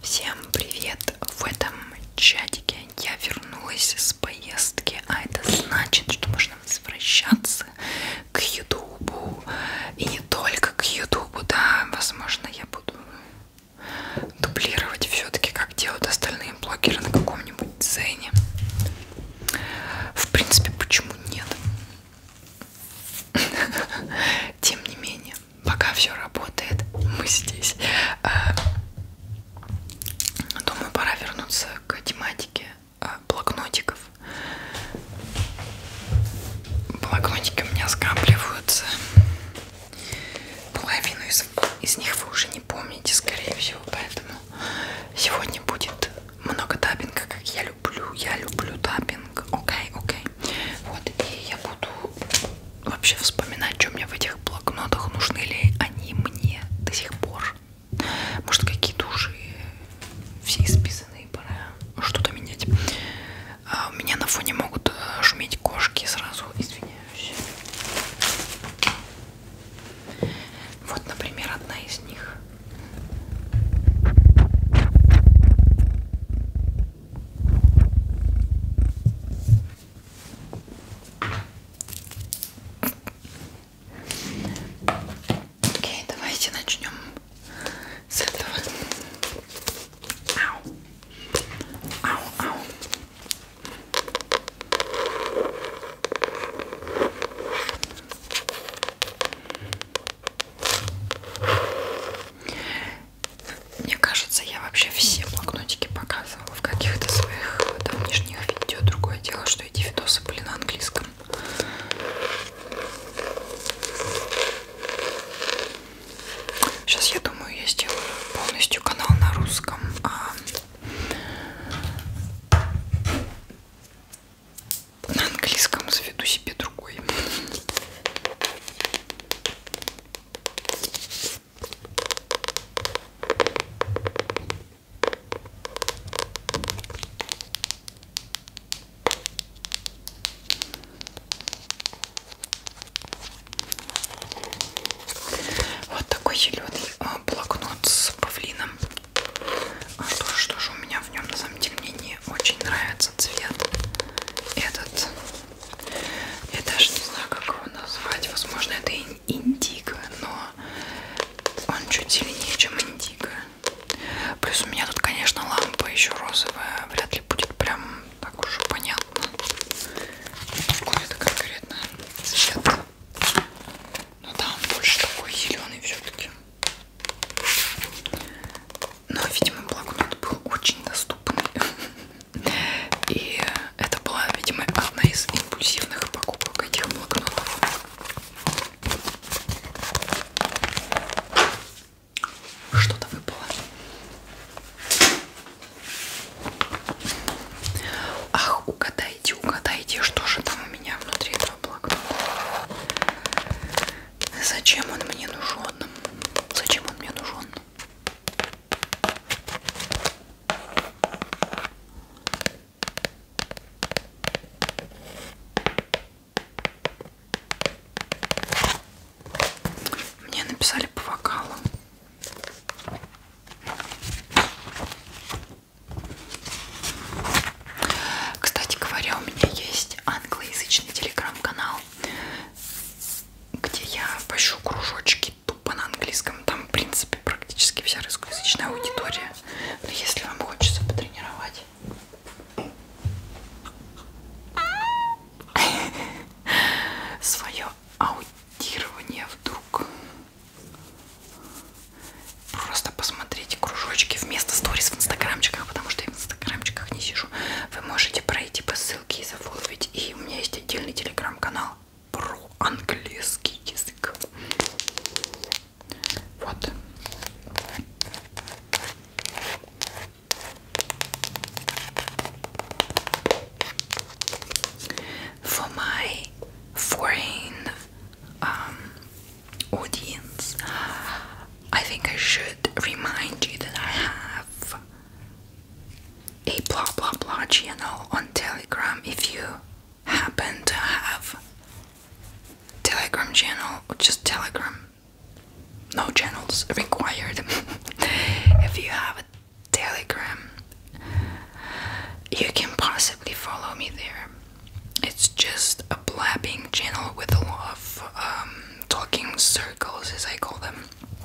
Всем привет! В этом чатике я вернулась с поездки, а это значит, что можно возвращаться к Ютубу. И не только к Ютубу, да, возможно, я буду дублировать все-таки, как делают остальные блогеры на каком-нибудь цене. В принципе, почему нет? Тем не менее вами. Пока все работает, мы здесь. Э, думаю, пора вернуться к тематике э, блокнотиков. Блокнотики у меня скапливаются. Половину из, из них вы уже не помните, скорее всего, поэтому сегодня будет много таппинга, как я люблю. Я люблю таппинг. Young. Окей, okay, окей. Okay. Вот, и я буду вообще вспоминать, что мне в этих блокнотах, нужны ли они мне до сих пор. Может, какие-то уже все исписанные, пора что-то менять. А у меня на фоне могут э, шуметь кошки, сразу извиняюсь. Вот, например, одна из них. Окей, давайте начнем с этого. Ау. Ау, ау. Мне кажется, я вообще все блокнотики показывала в каких-то своих давнишних видео. Другое дело, что эти видосы были на английском. Сейчас, я думаю, я сделаю полностью канал на русском. А на английском заведу себе другой. Вот такой зеленый а, блокнот с павлином. А, то, что же у меня в нем на самом деле мне не очень нравится цвет этот я даже не знаю, как его назвать. Возможно, это индиго, но он чуть сильнее, чем индиго. Плюс у меня тут, конечно, лампа еще розовая. Вряд ли будет прям так уж понятно. Какой это конкретно цвет. Но там больше такой зеленый все-таки. Но, видимо, блокнот был очень доступный. И это была, видимо, одна из импульсивных покупок этих блокнотов. Что-то выпало. Ах, угадайте, угадайте, что же там у меня внутри этого блокнота. Зачем он мне нужен? Зачем он мне нужен? Мне написали по вокалу. Кстати говоря, у меня есть англоязычный телеграм-канал где я пощу кружочки тупо на английском. Там, в принципе, практически вся русскоязычная аудитория. Но если вам хочется потренировать... свое аудирование вдруг просто посмотрите кружочки вместо сторис в инстаграмчиках потому что я в инстаграмчиках не вижу, вы можете пройти по ссылке и зафоловить. И у меня есть отдельный телеграм-канал про английский язык. Вот. For my foreign um, audience, I think I should remind you that I have a blah blah blah channel on Telegram if you happen to have Telegram channel or just Telegram. No channels required. if you have a Telegram, you can possibly follow me there. It's just a blabbing channel with a lot of um, talking circles, as I call them.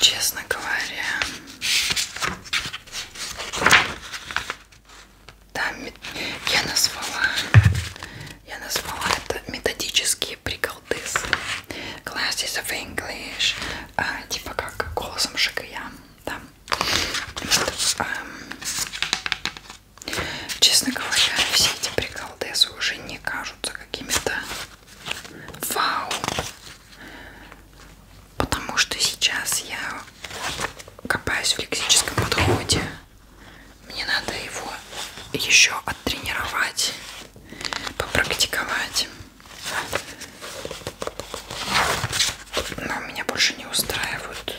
Честно говоря, там я назвала, я назвала это методические приколдыс. Classes of English, а, типа как голосом Шикая, да. Вот, а, честно говоря, все эти приколдесы уже не кажутся какими-то Вау! Потому что сейчас я копаюсь в лексическом подходе. Мне надо его еще оттренировать, попрактиковать. Но меня больше не устраивают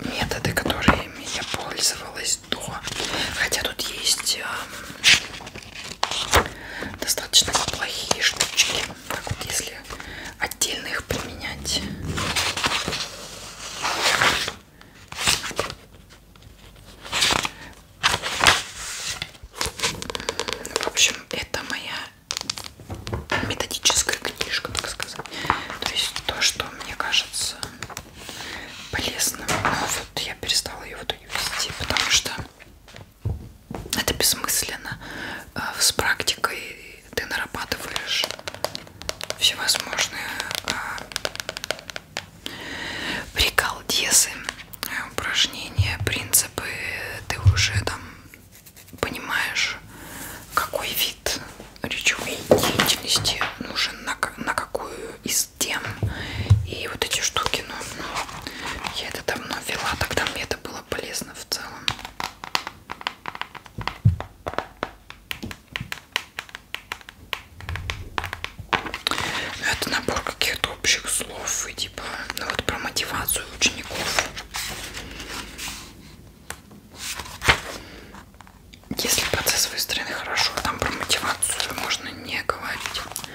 методы, которыми я пользовалась 100. Хотя тут есть достаточно неплохие штучки. Так вот, если отдельно их применять. В общем, это моя методическая книжка, так сказать. То есть то, что мне кажется полезным. Но вот я перестала ее вот боюсь идти, потому что это бессмысленно. Э, с практикой ты нарабатываешь всевозможные э, приколдесы, э, упражнения, принципы. Ты уже там понимаешь, какой вид речевой деятельности нужен, на какую из тем и вот эти штуки, ну, ну я это давно вела, тогда мне это было полезно в целом. Ну, это набор каких-то общих слов и типа, ну вот про мотивацию учеников. Если процесс выстроен хорошо, там про мотивацию можно не говорить. Но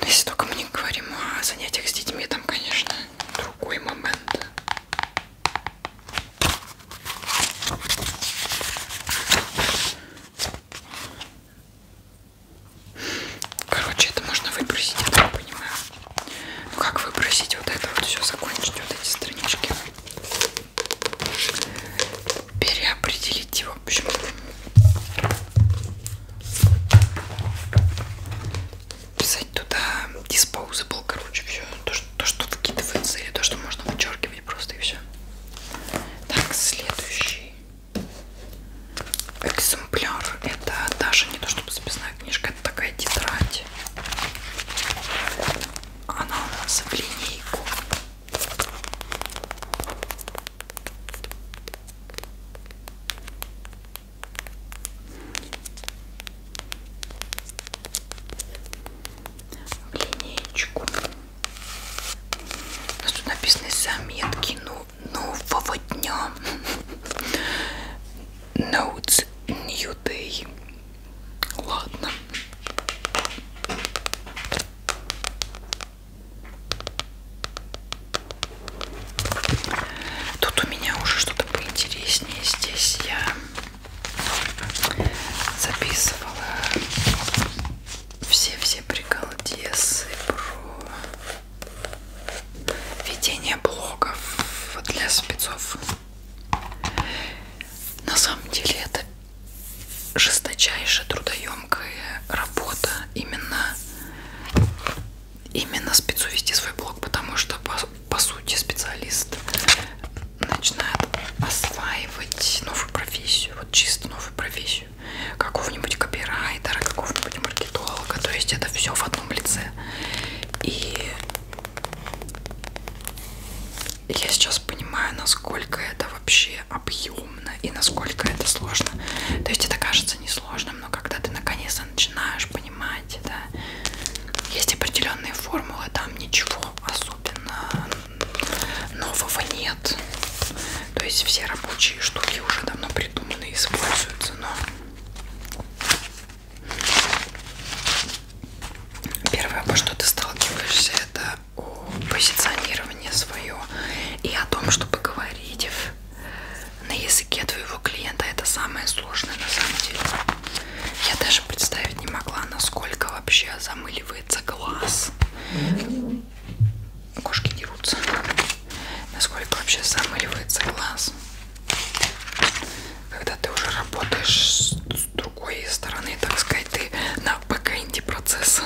ну, если только мы не говорим о занятиях с детьми, там, конечно, другой момент. Короче, это можно выбросить, я так понимаю. Ну как выбросить вот это вот все, закончить вот эти странички? переопределить его, в общем. Писать туда disposable, короче, все. То, что, то, что выкидывается, или то, что можно вычеркивать просто и все. Так, следующий экземпляр. Это даже не то, чтобы записная книжка, это такая тетрадь. Она у нас в линейку в линеечку. У нас тут написаны заметки ну, нового дня. Notes New Day. Ладно. Тут у меня уже что-то поинтереснее. Здесь я записывала все-все приколдесы про ведение блогов для спецов. На самом деле это жесточайшая трудоемкая работа именно именно спецу вести свой блог, потому что по, по сути специалист начинает осваивать новую профессию, вот чисто новую профессию, какого-нибудь копирайтера, какого-нибудь маркетолога, то есть это все в одном лице. И я сейчас сейчас понимаю, насколько это вообще объемно и насколько это сложно. То есть это кажется несложным, но когда ты наконец-то начинаешь понимать, да, есть определенные формулы, там ничего особенно нового нет. То есть все рабочие штуки уже давно придуманы и используются, но первое, во что ты сталкиваешься, это о позиционировании свое и о том, чтобы говорить на языке твоего клиента. Это самое сложное на самом деле. Я даже представить не могла, насколько вообще замыливается глаз. Кошки дерутся. Насколько вообще замыливается глаз. Когда ты уже работаешь с другой стороны, так сказать, ты на бэкэнде процесса.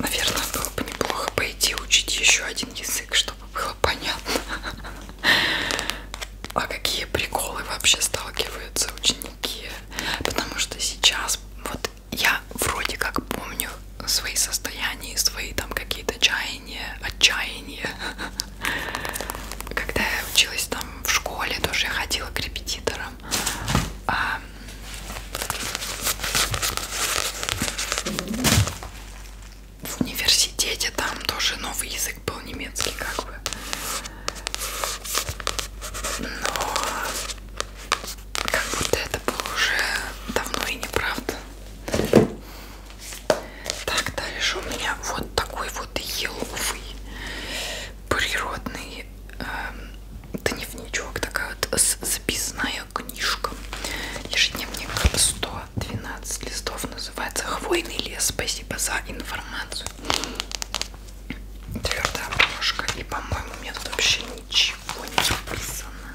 Наверное, было бы неплохо пойти учить еще один язык, чтобы было понятно. А какие приколы вообще сталкиваются ученики? Потому что сейчас вот я вроде как помню свои состояния, свои там какие-то чаяния, отчаяния. Когда я училась там в школе, тоже я ходила к репетиторам. А... В университете там тоже новые язык был немецкий, как бы. Но как будто это было уже давно и неправда. Так, дальше у меня вот такой вот еловый природный э, дневничок, такая вот записная книжка. Ежедневник 112 листов на называется хвойный лес. Спасибо за информацию. Твердая обложка. И, по-моему, у меня тут вообще ничего не написано.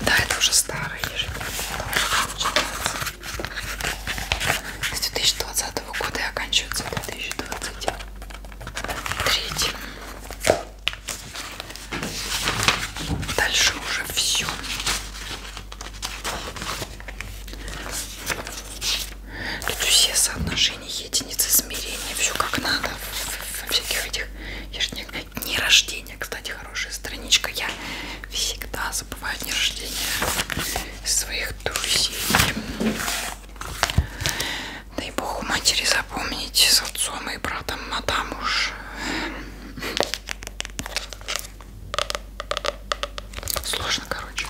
Да, это уже старая С 2020 года и оканчивается 2023. Дальше уже все. Тут все соотношения, единицы измерения, все как надо во всяких этих ежедневных. Дни рождения, кстати, хорошая страничка. Я всегда забываю дни рождения своих друзей. Дай бог у матери запомнить с отцом и братом, а там уж Сложно, короче.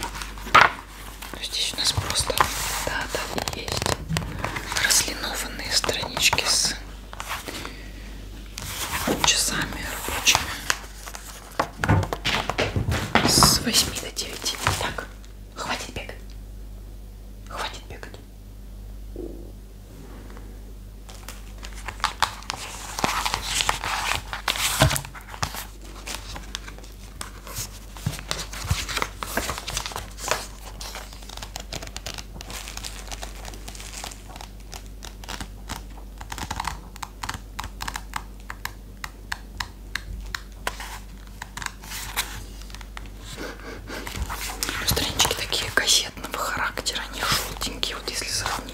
Но здесь у нас просто да, да, есть разлинованные странички с часами рабочими. С 8 до 9. Так, хватит бегать. Хватит бегать. Странички такие газетного характера, они желтенькие, вот если сравнить.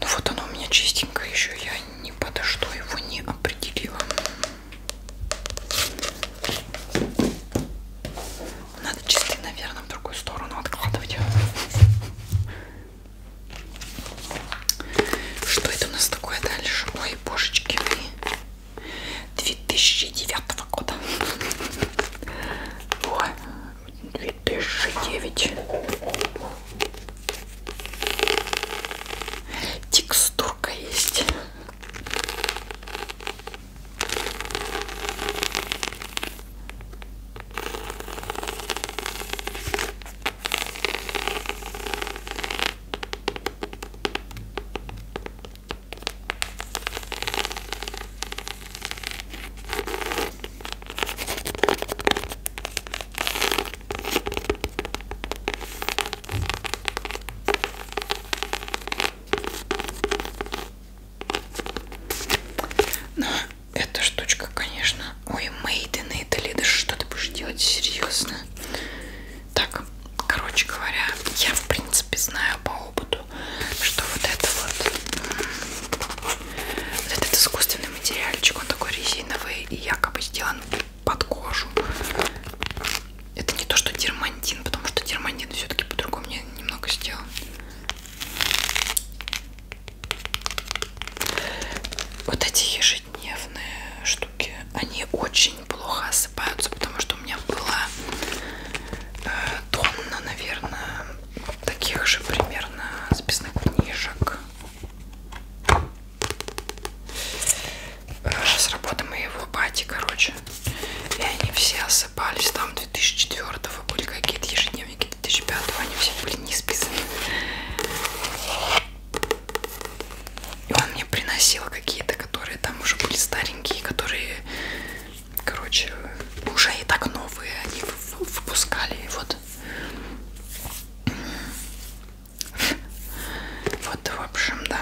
Ну вот оно у меня чистенько еще. Я ни подо что его не определила. Надо чистый, наверное, в другую сторону откладывать. Что это у нас такое дальше? Ой, божечки вы. 2009 года. Ой, 2009. Текстурка есть. Но ну, эта штучка, конечно... Ой, мейдены, это лиды, что ты будешь делать? Серьезно? Так, короче говоря, я в принципе знаю по опыту, что вот это вот вот этот искусственный материальчик, он такой резиновый и якобы сделан под кожу. Это не то, что дермантин, потому что дермантин все-таки по-другому немного сделан. Вот эти ежедневные штуки, они очень плохо осыпаются, потому что у меня была э, тонна, наверное, таких же примерно записных книжек с работы моего бати, короче. И они все осыпались. Там 2004-го были какие-то ежедневники 2005-го. Они все были не списаны. И он мне приносил какие-то, которые там уже были старенькие, которые, короче, уже и так новые. Они выпускали. И вот вот, в общем, да.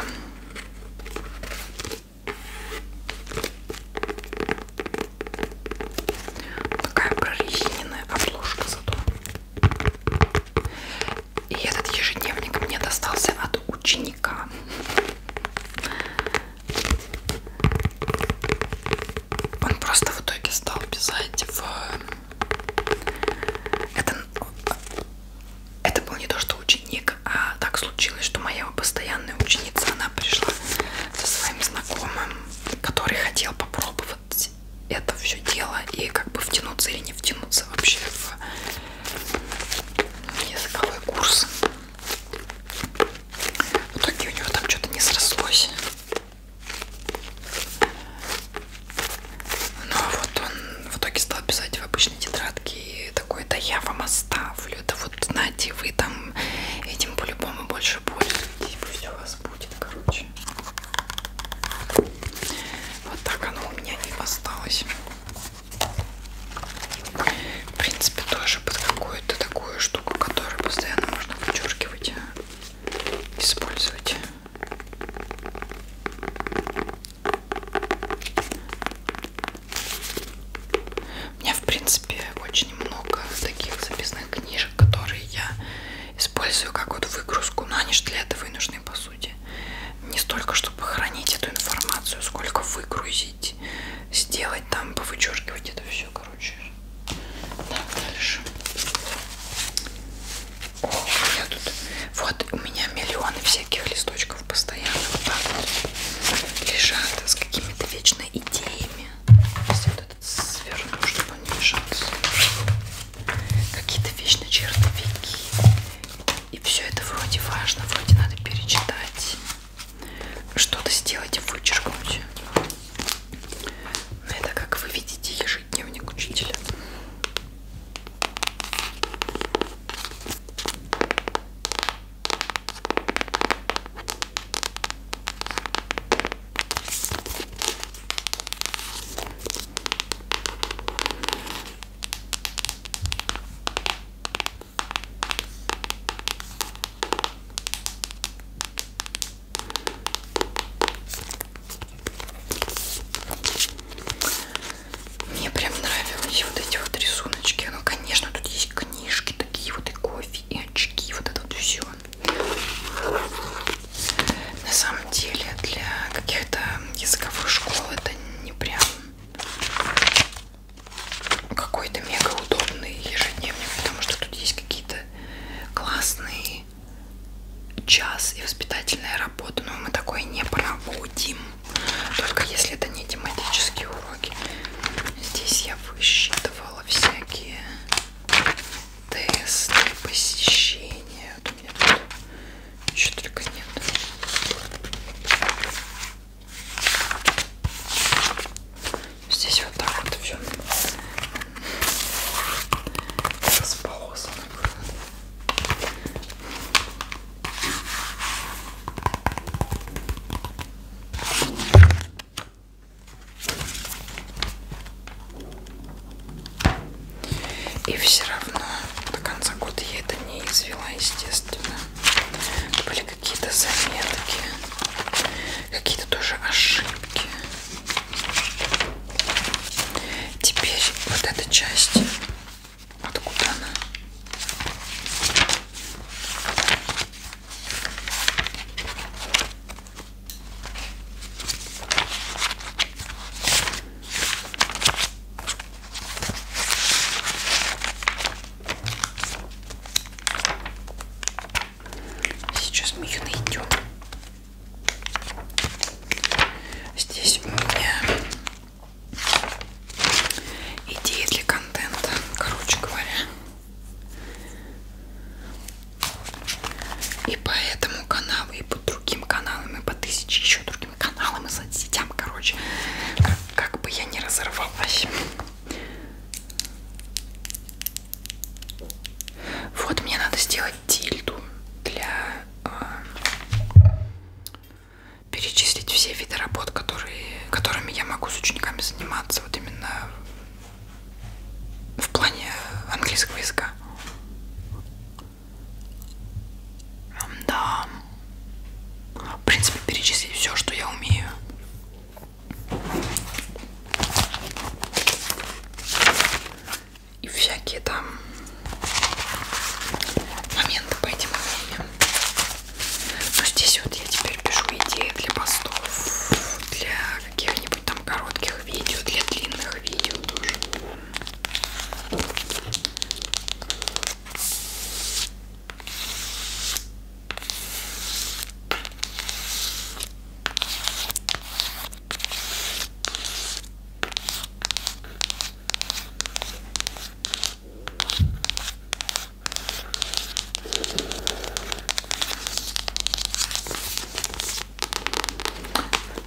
Такая прорезиненная обложка зато. И этот ежедневник мне достался от ученика. Он просто в итоге стал писать в это, это был не то, что ученик, а так случилось, что моя постоянная ученица, она пришла со своим знакомым, который хотел попробовать это все дело и как бы втянуться или не втянуться вообще в языковой курс. В итоге у него там что-то не срослось. Ну а вот он в итоге стал писать в обычной тетрадке и такой, да я вам оставлю, да вот знаете, вы там этим по-любому больше пользуетесь, пусть у вас будет, короче. Вот так оно у меня и осталось. В принципе, тоже под какую-то такую штуку, которую постоянно можно вычеркивать, а, использовать. У меня, в принципе, очень много таких записных книжек, которые я использую как вот выгрузку, но они же для этого и нужны, по сути. Не столько, чтобы хранить эту информацию, сколько выгрузить, сделать там, повычеркивать это все, короче. Так, дальше. О, у меня тут... Вот у меня миллионы всяких листочков постоянно вот так вот лежат с какими-то вечно идеями. Если вот этот сверну, чтобы он не мешался. Какие-то вечно чертовики. И все это вроде важно, вроде надо перечитать. Что-то сделать и вычеркнуть. Это, как вы видите, ежедневник учителя. Мне прям нравились вот эти вот рисуночки. Ну, конечно, тут есть книжки такие вот и кофе, и очки, вот это вот все. На самом деле для каких-то языковых школ это не прям какой-то мега удобный ежедневник, потому что тут есть какие-то классные час и воспитательная работа, но мы такое не проводим, только если это не тематические уроки. Здесь я высчитывала всякие тесты, посещения. Вот у меня тут еще только нет. Здесь вот так вот все располосанных. И все равно до конца года я это не извела, естественно. Были какие-то заметки, какие-то тоже ошибки. Теперь вот эта часть, откуда она? Сейчас мы ее найдем. Здесь у меня идеи для контента, короче говоря. И по этому каналу, и по другим каналам, и по тысяче еще другим каналам и соцсетям, короче, как, как бы я не разорвалась. Вот мне надо сделать тильду для э, перечислить все виды работ, которые, которыми я могу с учениками заниматься вот именно в плане английского языка. Да. В принципе, перечислить все, что я умею и всякие там моменты по этим мнениям. Но ну, здесь вот я теперь пишу идеи для постов, для каких-нибудь там коротких видео, для длинных видео тоже.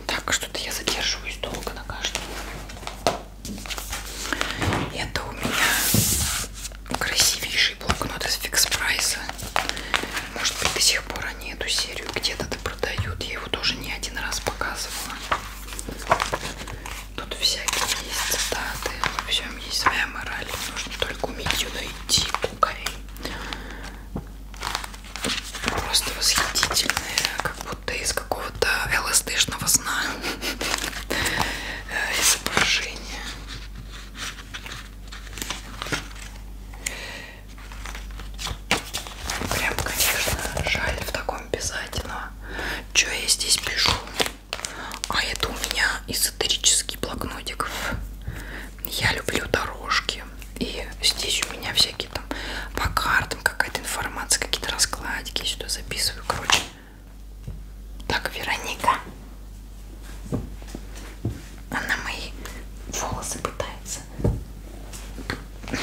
Так, а что-то я задерживаюсь долго на каждом. Это у меня красивейший блокнот из фикс прайса. Может быть, до сих сих пор они эту серию где-то да продают. Я его тоже не один раз показывала. Тут всякие есть цитаты. Во всем есть своя мораль. Нужно только уметь ее найти, кукарей. Просто восхитительные, как будто из какого-то ЛСДшного сна э, изображение. Прям, конечно, жаль в таком писать, но что я здесь пишу? А это у меня эзотерический блокнотик. Я люблю дорожки. И здесь у меня всякие там по картам какая-то информация, какие-то раскладики. Я сюда записываю, короче. Так, Вероника. Она мои волосы пытается сейчас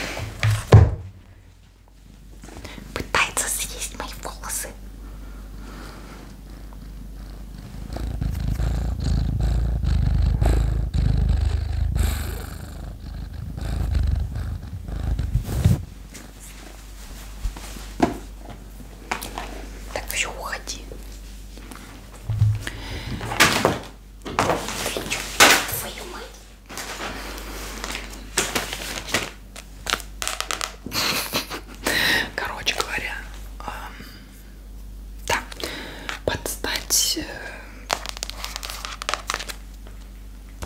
пытается съесть мои волосы. Так все уходи. Твою мать. Короче говоря, э, да, подстать э,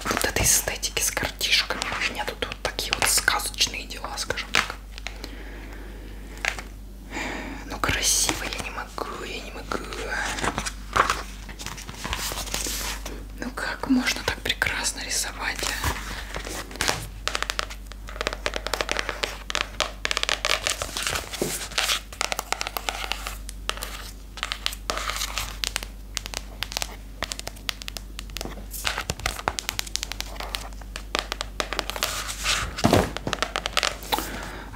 вот этой эстетики с картишками. У меня тут вот такие вот сказочные дела, скажем так. Ну, красиво я не могу могу, я не могу. А. Ну как можно так прекрасно рисовать? А?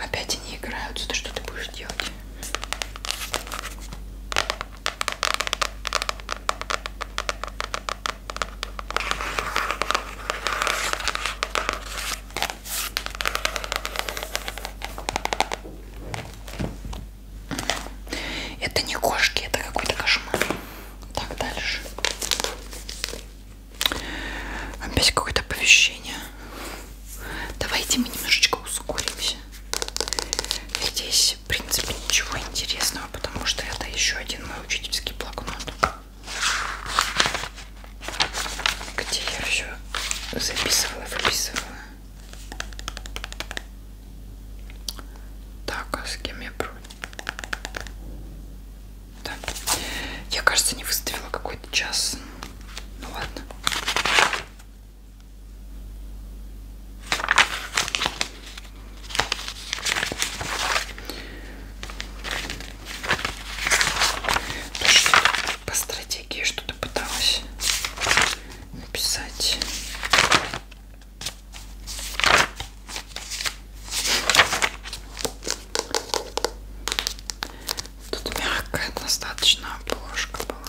Опять они играются. Ты что ты будешь делать? Это не кошки, это какой-то кошмар. Так, дальше. Опять какое-то оповещение. Давайте мы немножечко ускоримся. Здесь, в принципе, ничего интересного, потому что это еще один мой учительский блокнот. Где я все записывала, выписывала. Так, а с кем я про... Да. Я, кажется, не выставила какой-то час. Ну ладно. Что по стратегии что-то пыталась написать. Тут мягкая достаточно обложка была.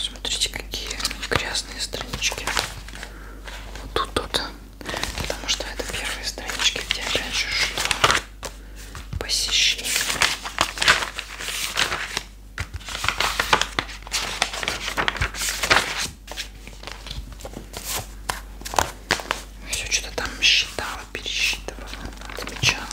Смотрите, какие грязные странички. Вот тут тут. Потому что это первые странички, где опять же шло посещение. Все что-то там считала перебирала, пересчитывала, отмечала.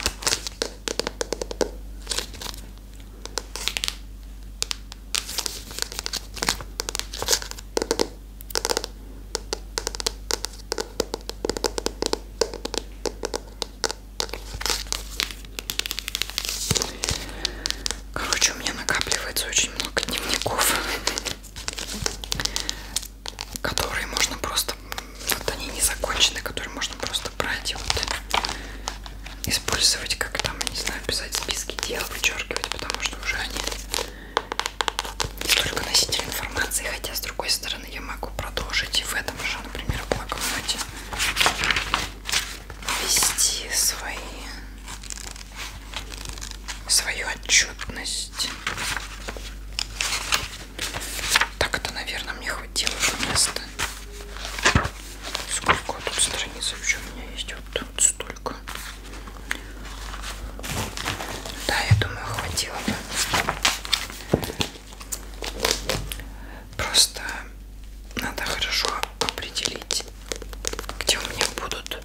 Короче, у меня накапливается очень много дневников которые можно просто, вот они не закончены, которые можно просто брать и вот использовать, как там, я не знаю, писать списки дел, вычеркивать, потому что уже они только носители информации, хотя с другой стороны я могу продолжить и в этом же, например, блокноте вести свои свою отчетность так это, наверное, мне хватило уже места. Сколько тут страниц еще у меня есть? Вот тут столько. Да, я думаю, хватило бы. Просто надо хорошо определить, где у меня будут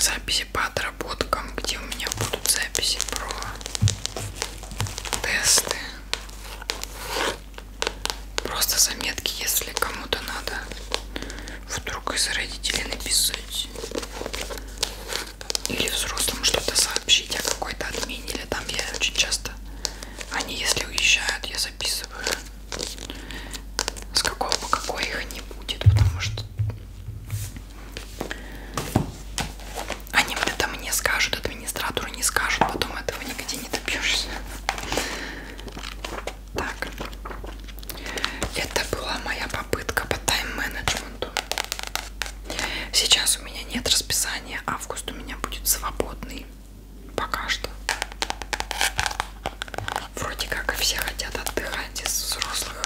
записи по отработкам, где у меня будут записи про тесты. Просто заметки, если кому-то надо вдруг из родителей написать или взрослым что-то сообщить о какой-то отмене, или там я очень часто, они если уезжают, я записываю с какого по какой их не будет, потому что они это мне скажут, администратору не скажут, потом этого нигде не добьешься. Так, это была моя попытка по тайм-менеджменту. Сейчас у меня нет расписания, август у меня будет свободный пока что. Вроде как и все хотят отдыхать из взрослых,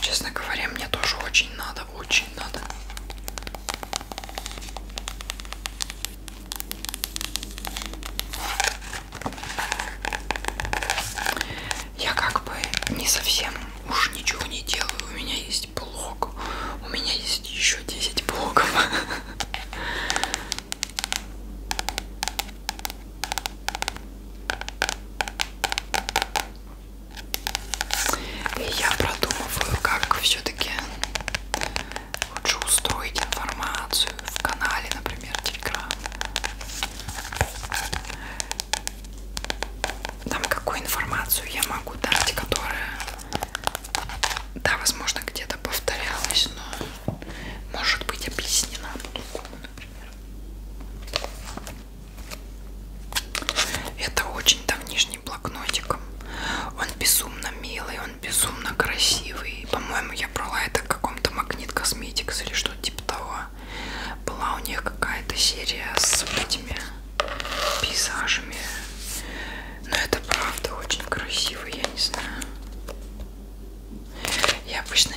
Честно говоря, мне тоже очень надо, очень надо. Я как бы не совсем уж ничего не делаю. У меня есть блог. У меня есть еще 10 блогов. И я продумываю, как все-таки лучше устроить информацию в канале, например, Телеграм. Там какую информацию я могу дать, которая, да, возможно, где-то повторялась, но может быть объяснена по-другому, например. Это очень давнишний блокнотик. Он безумно милый, он безумно красивый. По-моему, я брала это в каком-то магнит косметикс или что-то типа того. Была у них какая-то серия с этими пейзажами. Но это правда очень красиво, я не знаю. Я обычно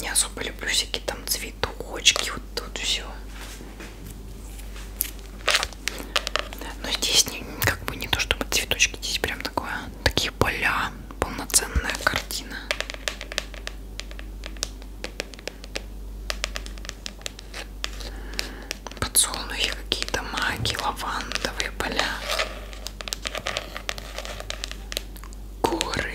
не особо люблю всякие там цветы цветочки, вот тут все. Но здесь не, как бы не то, чтобы цветочки, здесь прям такое, такие поля, полноценная картина. Подсолнухи какие-то, маки, лавандовые поля. Горы,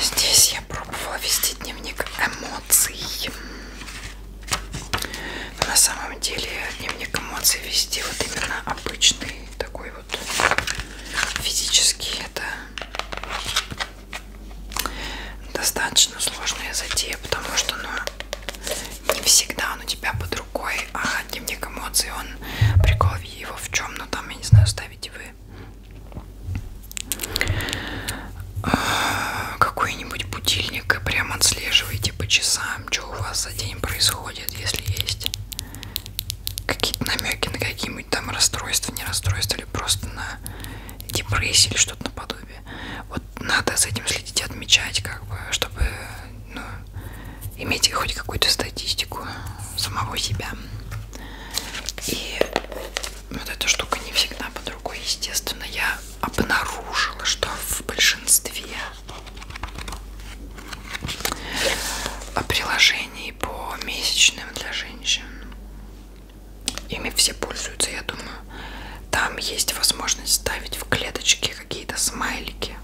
Здесь я пробовала вести дневник эмоций. Но на самом деле дневник эмоций вести вот именно обычный такой вот физический. Это достаточно сложная затея, потому что ну, не всегда он у тебя под рукой, а дневник эмоций, он прикол его в чем, ну там, я не знаю, ставите вы а, какой-нибудь будильник и прям отслеживаете по часам, что у вас за день происходит, если есть какие-то намеки на какие-нибудь там расстройства, не расстройства, или просто на депрессию или что-то наподобие. Вот надо с этим следить, отмечать, как бы, чтобы ну, иметь хоть какую-то статистику самого себя. И вот эта штука не всегда под рукой, естественно. Я обнаружила, что в большинстве приложений по месячным для женщин ими все пользуются, я думаю. Там есть возможность ставить в клеточки какие-то смайлики.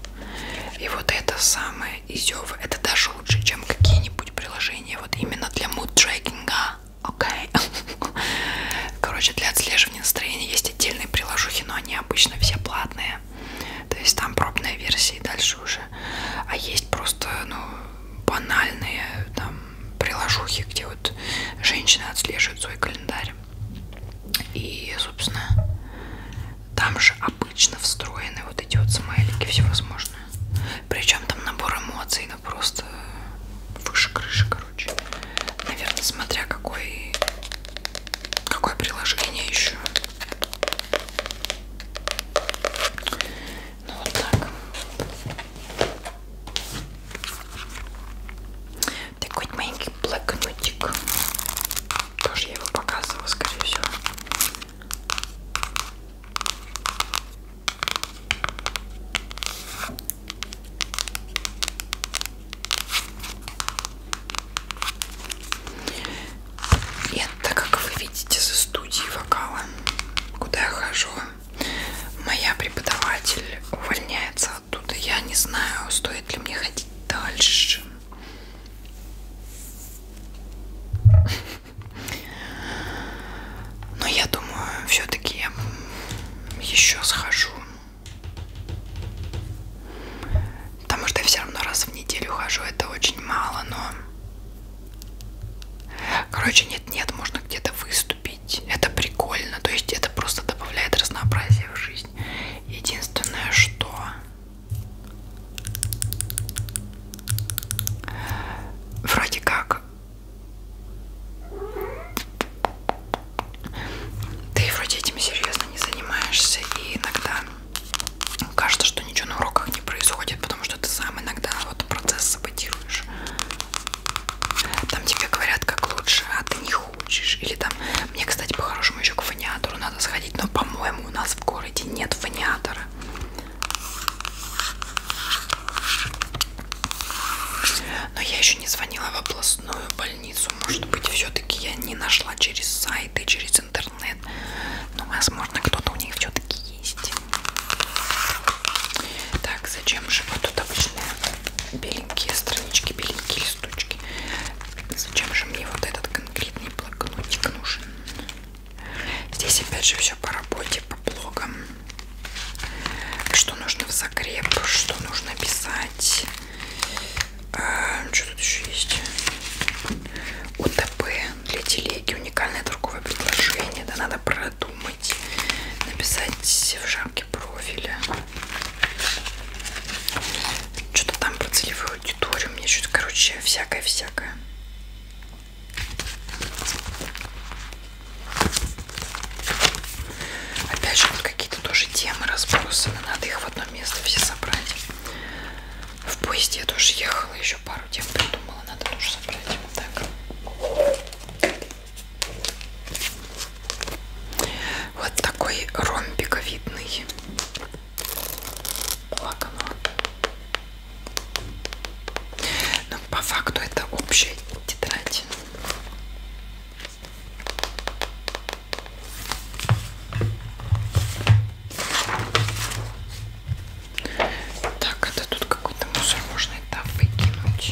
И вот это самое изёва, это даже лучше, чем какие-нибудь приложения. Вот именно для муд-трекинга. Окей. Okay. Короче, для отслеживания настроения есть отдельные приложухи, но они обычно все платные. То есть там пробная версия и дальше уже. А есть просто, ну, банальные там приложухи, где вот женщины отслеживают свой календарь. И, собственно, там же обычно встроены вот эти вот смайлики всевозможные. Причем там набор эмоций, ну просто выше крыши, короче. Наверное, смотря какой какое приложение еще. Ну вот так такой маленький блокнотик. Тоже я его показывала, скорее всего. И это, как вы видите, со студии вокала, куда я хожу. Моя преподаватель увольняется оттуда. Я не знаю, стоит ли мне ходить Дальше. Но я думаю, все-таки я еще схожу. Потому что я все равно раз в неделю хожу, это очень мало, но... Короче, нет-нет, можно где-то выступить. Это прикольно, то есть это просто добавляет разнообразие в жизнь жизнь. Единственное, что вроде как ты вроде этим серьезно не занимаешься и иногда кажется, что ничего на уроках не происходит, потому что ты сам иногда вот процесс саботируешь. Там тебе говорят, как лучше, а ты не хочешь хочешь. Или там, мне, кстати, по-хорошему еще к фониатору надо сходить, но, по-моему, у нас в городе нет фониатора. Но я еще не звонила в областную больницу. Может быть, все-таки я не нашла через сайты, через интернет. Но, ну, возможно, кто-то у них все-таки есть. Так, зачем же вот тут обычная беленькие странички, беленькие листочки. Зачем же мне вот этот конкретный блокнотик нужен? Здесь опять же все по работе, по блогам. Что нужно в закреп, что нужно писать. А, что тут еще есть? УТП для телеги, уникальное торговое предложение. Да надо продумать, написать в жарком настройки профиля. Что-то там про целевую аудиторию. Мне что-то, короче, всякое-всякое. Опять же, вот какие-то тоже темы разбросаны. Надо их в одно место все собрать. В поезде я тоже ехала, еще пару тем придумала. Надо тоже собрать. Так. Вот такой ромбиковидный лакомый. Но по факту это общая тетрадь. Так, это тут какой-то мусор можно и там выкинуть.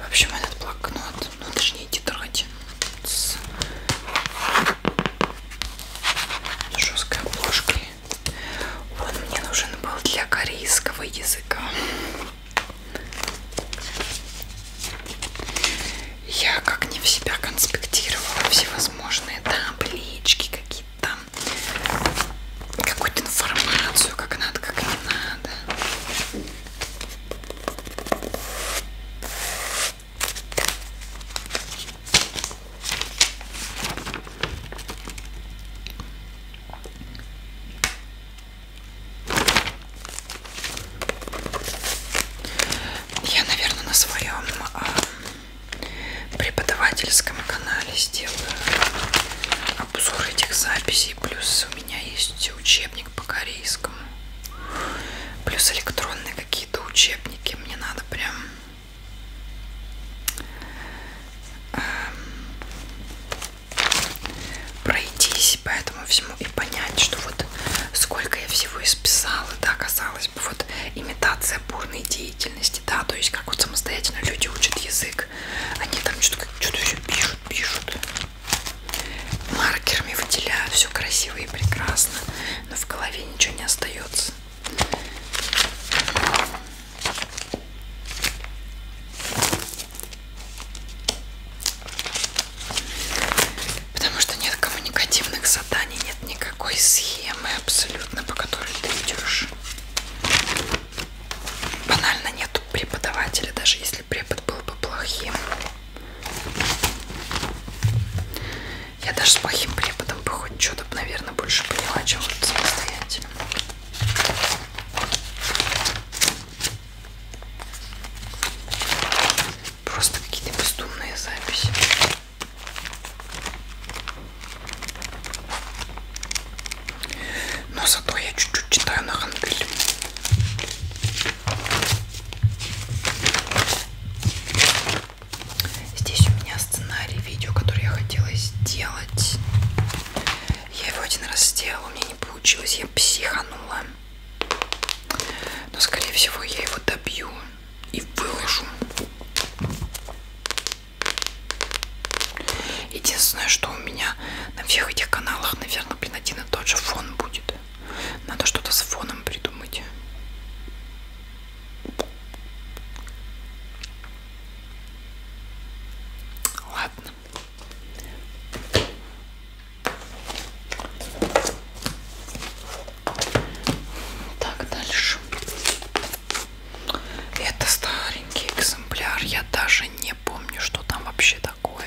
В общем, этот блокнот, ну точнее тетрадь с жесткой обложкой он мне нужен был для корейского языка. Я как не в себя конспектировала всевозможные таблички, какие-то там, какую-то информацию, как надо, как не надо. Я, наверное, на своем а, преподавательском канале сделаю обзор этих записей. Плюс у меня есть учебник по корейскому. Плюс электронные какие-то учебники. Мне надо прям Эм, пройтись по этому всему и понять, что вот сколько я всего исписала, да, казалось бы, вот имитация бурной деятельности, да, то есть как вот самостоятельно люди учат язык, они там что-то что все пишут, пишут, маркерами выделяют, все красиво и прекрасно, но в голове ничего не остается. Потому что нет коммуникативных заданий, нет никакой схемы абсолютно, по которой ты идешь. Банально нет преподавателя, даже если препод был бы плохим. Я даже с плохим преподом бы хоть что-то, наверное, больше поняла, чем вот самостоятельно. Просто какие-то бездумные записи. Но зато я чуть-чуть читаю на хангеле. Здесь у меня сценарий видео, который я хотела сделать. Я его один раз сделала, у меня не получилось, я психанула. Но, скорее всего, я его добью и выложу. Единственное, что у меня на всех этих каналах, наверное, блин, один и тот же фон будет. Надо что-то с фоном придумать. Ладно. Так, дальше. Это старенький экземпляр. Я даже не помню, что там вообще такое.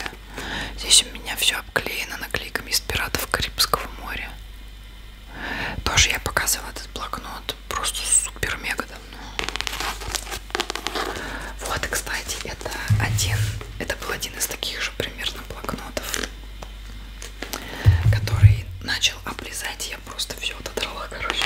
Здесь у меня все обклеено наклейками из пиратов Карибского моря. Тоже я показывала этот блокнот просто супер-мега давно. Вот, кстати, это один, это был один из таких же примерно блокнотов, который начал облизать, я просто все отодрала, короче.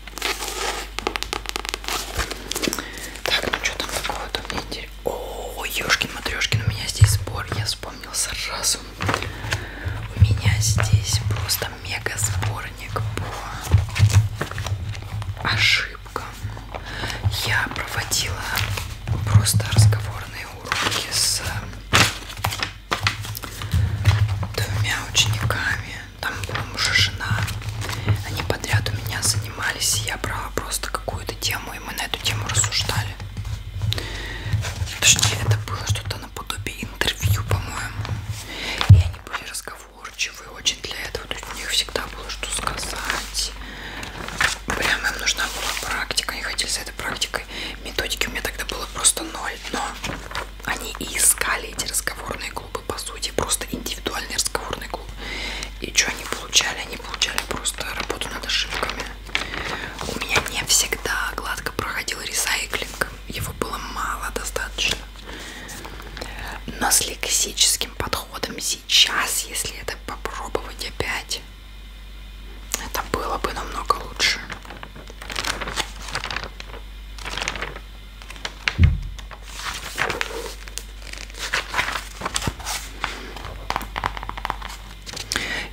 Так, ну что там такого-то мне интересно? О, ёшкин-матрёшкин, у меня здесь сбор, я вспомнил сразу. У меня здесь просто мега сборник по ошибкам. Я проводила просто разговорные уроки с двумя учениками там бомж и жена, они подряд у меня занимались, и я брала просто какую-то тему, и мы на эту тему рассуждали. Точнее, это было что-то наподобие интервью, по-моему. И они были разговорчивы очень для этого. То есть у них всегда было что сказать. Прям им нужна была практика. Они хотели за этой практикой. Методики у меня тогда было просто ноль. Но они и искали эти разговорные клубы клубы, по сути, просто индивидуальный разговорный клуб. И что они получали? Они получали просто работу над ошибками. У меня не всегда гладко проходил ресайклинг. Его было мало достаточно. Но с лексическим подходом сейчас, если это попробовать опять, это было бы намного лучше.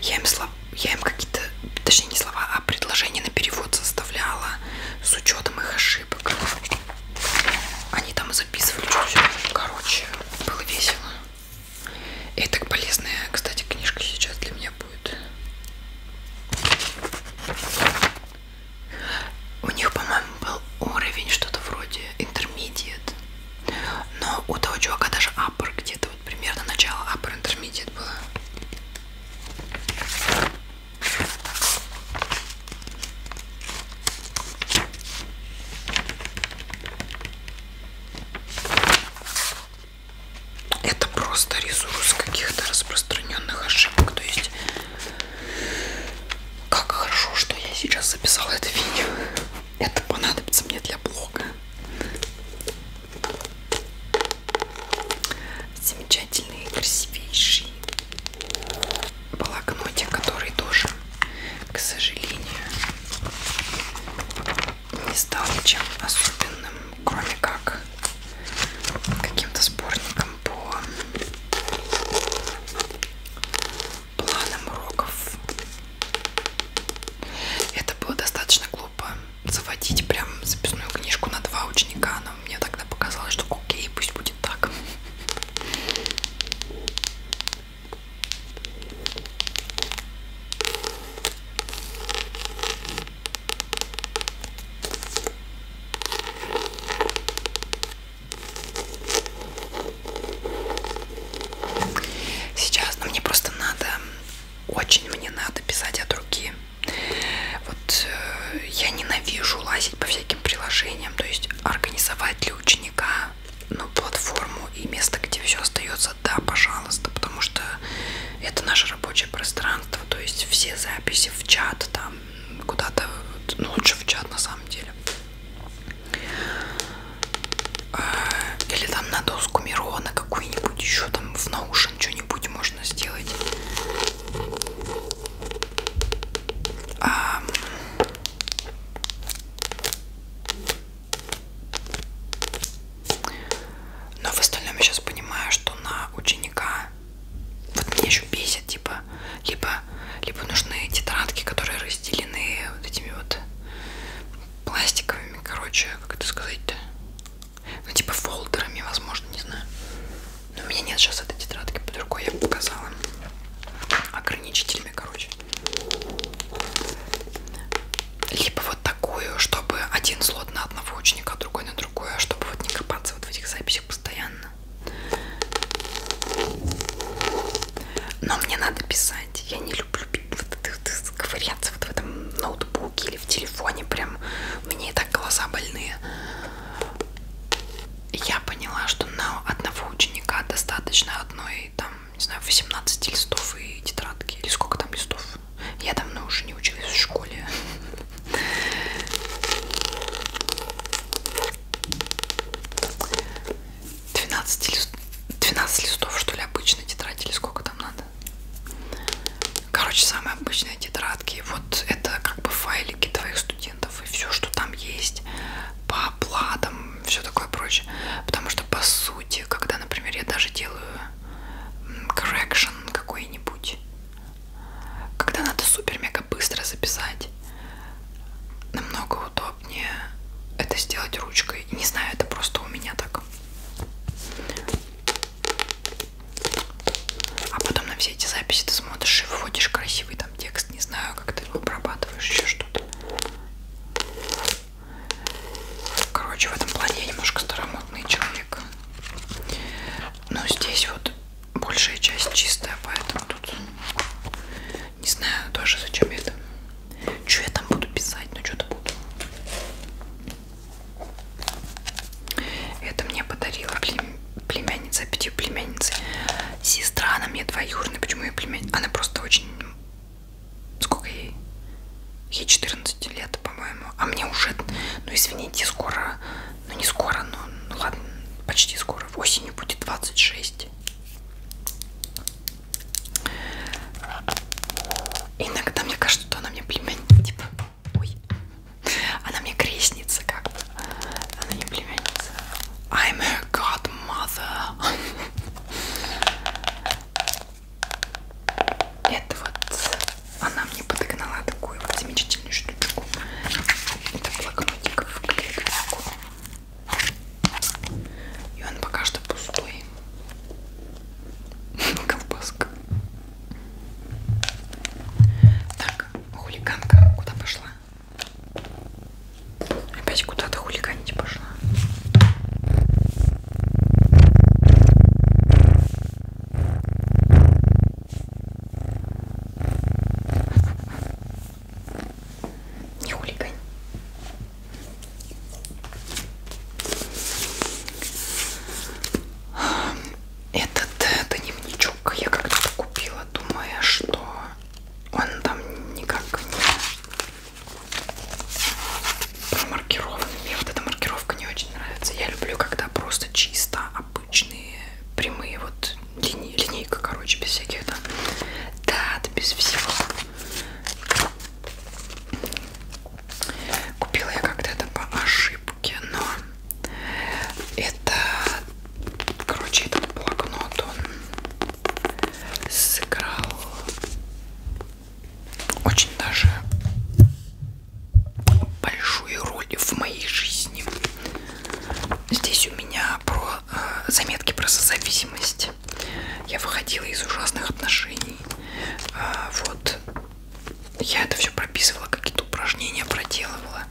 Я им, слов... я им какие-то, точнее не слова, а предложения на перевод составляла с учетом их ошибок. Они там записывали чуть-чуть. Короче, было весело. И так полезная, кстати, книжка сейчас для меня будет. У них, по-моему, был уровень что-то вроде intermediate. Но у того чувака даже upper где-то, вот примерно начало upper intermediate было. Это просто ресурс каких-то распространенных ошибок. То есть как хорошо, что я сейчас записала это видео. Это понадобится мне для блога. Замечательный, красивейший блокнотик, который тоже, к сожалению, не стал чем особенным, кроме как каким-то сборником по планом уроков. Это было достаточно глупо заводить прям записную книжку на два ученика, но мне тогда показалось, что окей, пусть будет так. Сейчас ну, мне просто надо, очень мне надо писать от руки. Вот э, я ненавижу лазить по всяким приложениям, то есть организовать для ученика ну, платформу и место, где все остается, да, пожалуйста, потому что это наше рабочее пространство, то есть все записи в чат, там куда-то, ну, лучше в чат на самом деле. Э, или там на доску Мирона какую-нибудь еще там в наушен что-нибудь можно сделать. А... Но в остальном я сейчас понимаю, что на ученика вот меня еще бесит, типа, либо, либо нужны тетрадки, которые разделены вот этими вот пластиковыми, короче, как это сказать-то? Ну, типа фолдерами, возможно, не знаю. Но у меня нет сейчас этой тетрадки под рукой, я показала. Ограничителями, короче. Либо вот такую, чтобы один слот на одного ученика, другой на другое, чтобы вот не копаться вот в этих записях постоянно. Но мне надо писать. Я не люблю ковыряться вот в этом ноутбуке или в телефоне. Прям мне и так глаза больные. Я поняла, что на одного ученика достаточно одной, там, не знаю, 18 листов и тетрадки. Или сколько там листов? Я давно уже не училась в школе. 12, лист... 12 листов, что ли, обычной тетрадь или сколько там надо? Короче, самые обычные тетрадки. Вот это как бы файлики твоих студентов и все, что там есть по оплатам, все такое прочее. Потому что, по сути, когда, например, я даже делаю correction какой-нибудь, когда надо супер-мега быстро записать, намного удобнее это сделать ручкой. Не знаю, это просто у меня так. А потом на все эти записи ты смотришь и вводишь красивый там текст. Не знаю, как ты его обрабатываешь, еще что-то. Короче, в этом плане я немножко старомодный человек. Но здесь вот большая часть чистая, поэтому тут не знаю тоже зачем это. Что я там буду писать, но что-то буду. Это мне подарила плем... племянница, пяти племянницы. Сестра, она мне двоюродная. Почему я племянница? Она просто очень... Сколько ей? Ей 14 лет, по-моему. А мне уже... Ну, извините, скоро ну не скоро, но ну, ну ладно, почти скоро. В осенью будет 26. Иногда мне кажется, что она мне племянница. Типа, ой. Она мне крестница как бы. Она не племянница. I'm her godmother. Это вот она мне подогнала такую вот замечательную штуку книжечку. Это блокнотик в клеточку. И он пока что пустой. Колбаска. Так, хулиганка куда пошла? Опять куда-то хулиганить пошла. Не хулигань. Этот э, дневничок я когда-то купила, думая, что он там никак не промаркирован. Мне вот эта маркировка не очень нравится. Я люблю, когда просто чисто обычные прямые вот линии, линейка, короче, без всяких там дат, без всего. Купила я когда-то по ошибке, но это, короче, этот блокнот, он сыграл очень даже большую роль в моей жизни. Здесь у меня про заметки про созависимость. Я выходила из ужасных отношений. А, вот. Я это все прописывала, какие-то упражнения проделывала.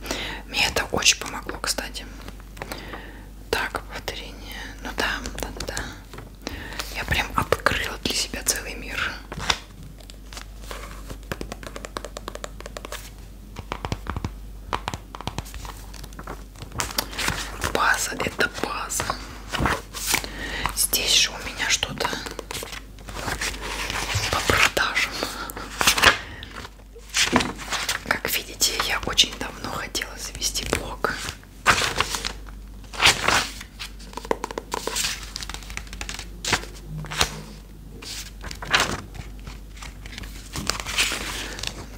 Мне это очень помогло, кстати. Так, повторение. Ну да, да, да. Я прям открыла для себя целый мир. База, это база. Здесь же у меня что-то по продажам. Как видите, я очень давно хотела завести блог.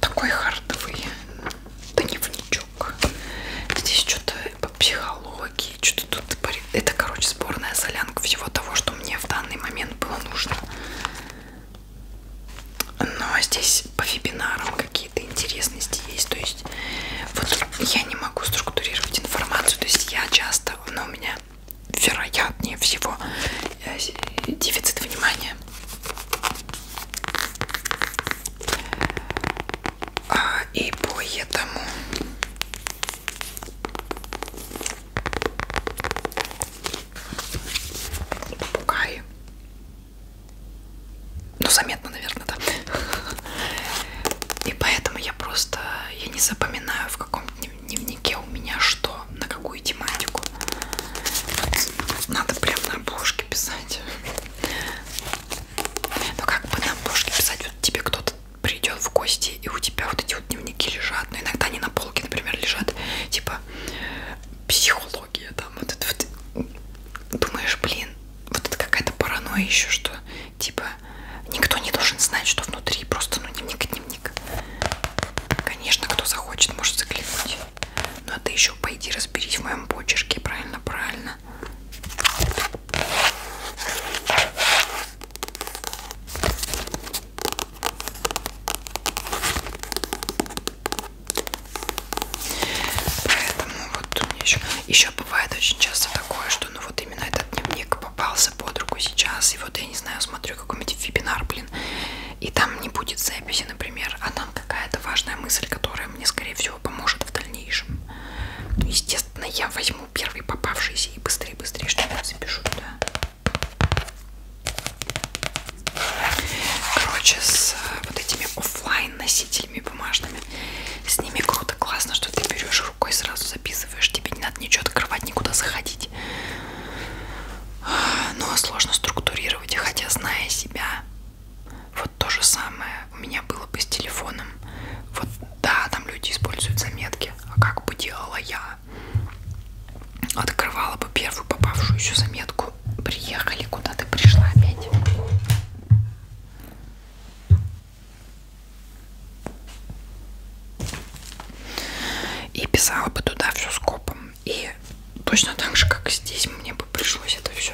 Такой хардовый дневничок. Здесь что-то по психологии, что-то тут... Это, короче, сборная солянка всего того, что мне в данный момент было нужно. Но здесь по вебинарам какие-то интересности есть. То есть вот я не могу структурировать информацию. То есть я часто, но у меня вероятнее всего э, э, дефицит внимания. А, и поэтому попугаи, ну заметно, наверное, да. И поэтому я просто я не запоминаю в каком дневнике у меня что, на какую тематику. Надо прям на обложке писать. Но ну как бы на обложке писать, вот тебе кто-то придет в гости, и у тебя вот эти вот дневники лежат. Но ну, иногда они на полке, например, лежат, типа психология там. Вот это вот. Думаешь, блин, вот это какая-то паранойя еще, что типа никто не должен знать, что внутри. Просто ну дневник, дневник. Конечно, кто захочет, может заглянуть. Но ну, а ты еще пойди разберись в моем почерке, правильно, правильно. Поэтому вот у меня еще, еще бывает очень часто такое, что ну вот именно этот дневник попался под руку сейчас, и вот я не знаю, смотрю смотрю какой-нибудь вебинар, блин, и там не будет записи, например, а там какая-то важная мысль, которая мне, скорее всего, поможет в дальнейшем. Ну, естественно, я возьму первый попавшийся и быстрее-быстрее что-нибудь запишу, да. Короче, с э, вот этими офлайн носителями бумажными, с ними круто, классно, что ты берешь рукой, сразу записываешь, тебе не надо ничего открывать, никуда заходить платить. Но ну, а сложно структурировать. Хотя, зная себя, вот то же самое у меня было бы с телефоном. Вот да, там люди используют заметки. А как бы делала я? Открывала бы первую попавшуюся заметку. Приехали, куда ты пришла опять. И писала бы туда все скопом. И точно так же, как здесь, мне бы пришлось это все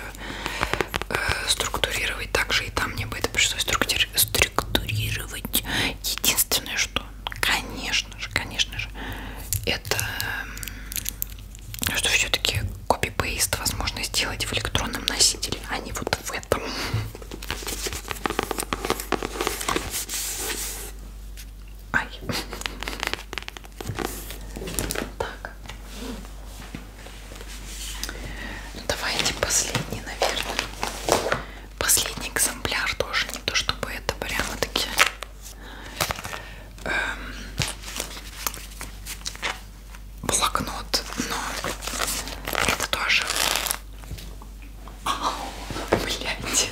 э, структурировать. Также и там мне бы это пришлось структури структурировать. Единственное, что, конечно же, конечно же, это что все-таки копипейст возможно сделать в электронном носителе, а не вот в этом. Ай. Так. Ну, давайте последний, наверное. Последний экземпляр тоже не то, чтобы это прямо таки эм, блокнот, но это тоже. Ау, блядь.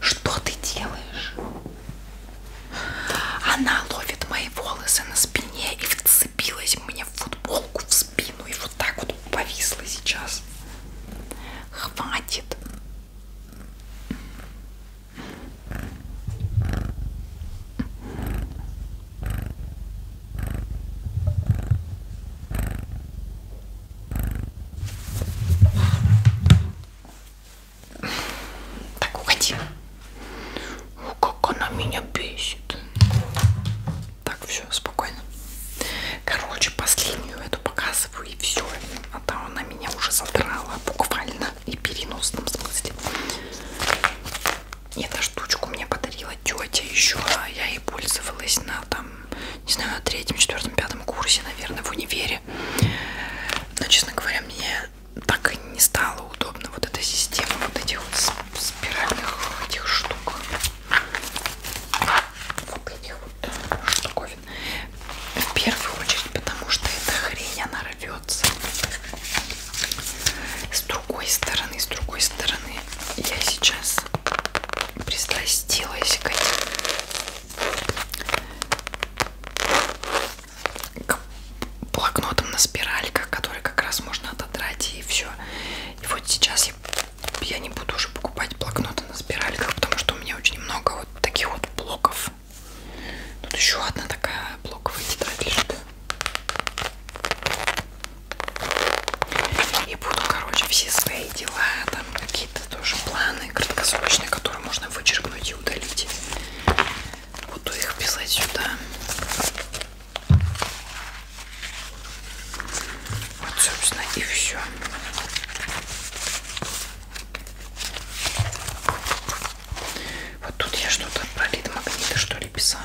Что ты делаешь? Она ловит мои волосы на спине и вцепилась мне в футболку в спину и вот так вот повисла сейчас. Хватит. Так, уходи. О, как она меня бесит. Так, все, спокойно. Короче, последнюю эту показываю и все. А то она меня уже задрала буквально и переносном смысле. Эта штучку мне подарила тетя еще, а я ей пользовалась на там не знаю, на третьем, четвертом, пятом курсе, наверное, в универе. Но, честно говоря, мне так и не стало удобно вот эта система вот этих вот спиральных этих штук. Вот этих вот штуковин. В первую очередь, потому что эта хрень, она рвется. С другой стороны, с другой стороны, я сейчас пристрастилась к этим к блокнотам на спиральках, которые как раз можно отодрать и все. И вот сейчас я, я не буду уже покупать блокноты на спиральках, потому что у меня очень много вот таких вот блоков. Тут еще одна такая блоковая тетрадь лежит. И буду, короче, все свои дела, там какие-то тоже планы краткосрочные, которые можно вычеркнуть и удалить. Буду их писать сюда. Вот, собственно, и все. Вот тут я что-то про лид магниты что ли писала.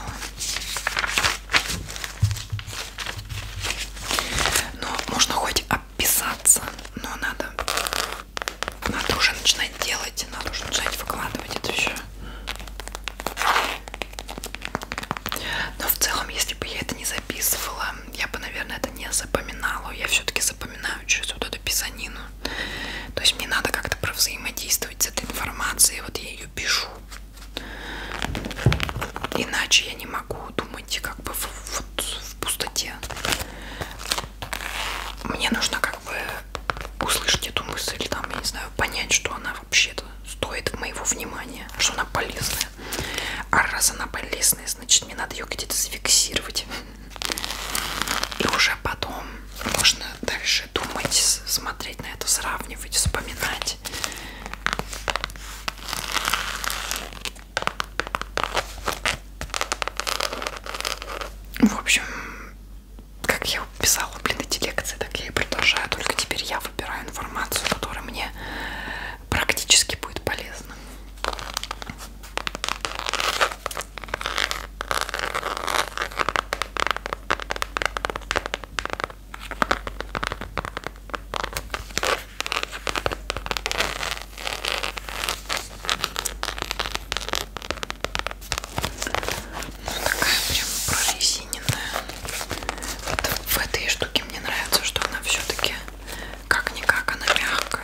Но можно хоть описаться, но надо, надо уже начинать делать, надо уже начинать выкладывать это все. Но в целом, если бы я это не записывала, я бы, наверное, это не запоминала. Я все-таки запоминаю через вот эту писанину. То есть мне надо как-то провзаимодействовать с этой информацией. Вот я ее пишу. Иначе я не могу думать как бы в, в, в пустоте. Мне нужно как бы услышать эту мысль, там, я не знаю, понять, что она вообще-то стоит моего внимания, что она полезная. А раз она полезная, значит мне надо ее где-то зафиксировать. И уже потом можно дальше думать, смотреть на это, сравнивать, вспоминать. В общем, как я писала, блин, эти лекции, так я и продолжаю. Только теперь я выбираю информацию, которая мне практически будет полезна такая прям прорезиненная. Это, в этой штуке мне нравится, что она все-таки как-никак, она мягкая.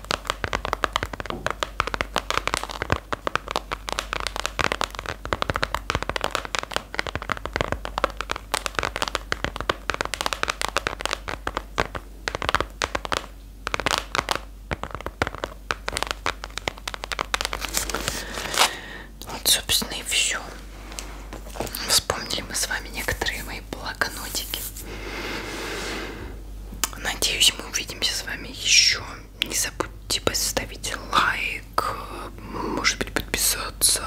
Вот, собственно, и все. Вспомнили мы с вами некоторые мои блокнотики. Надеюсь, мы увидимся с вами еще. Не забудьте поставить лайк, может быть, подписаться,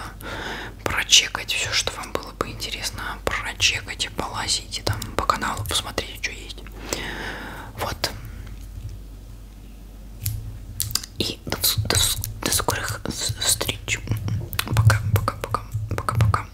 прочекать все, что вам было бы интересно. Прочекайте, полазите там по каналу, посмотрите, что есть. Вот. И до, до, до скорых встреч. Пока, пока, пока, пока, пока.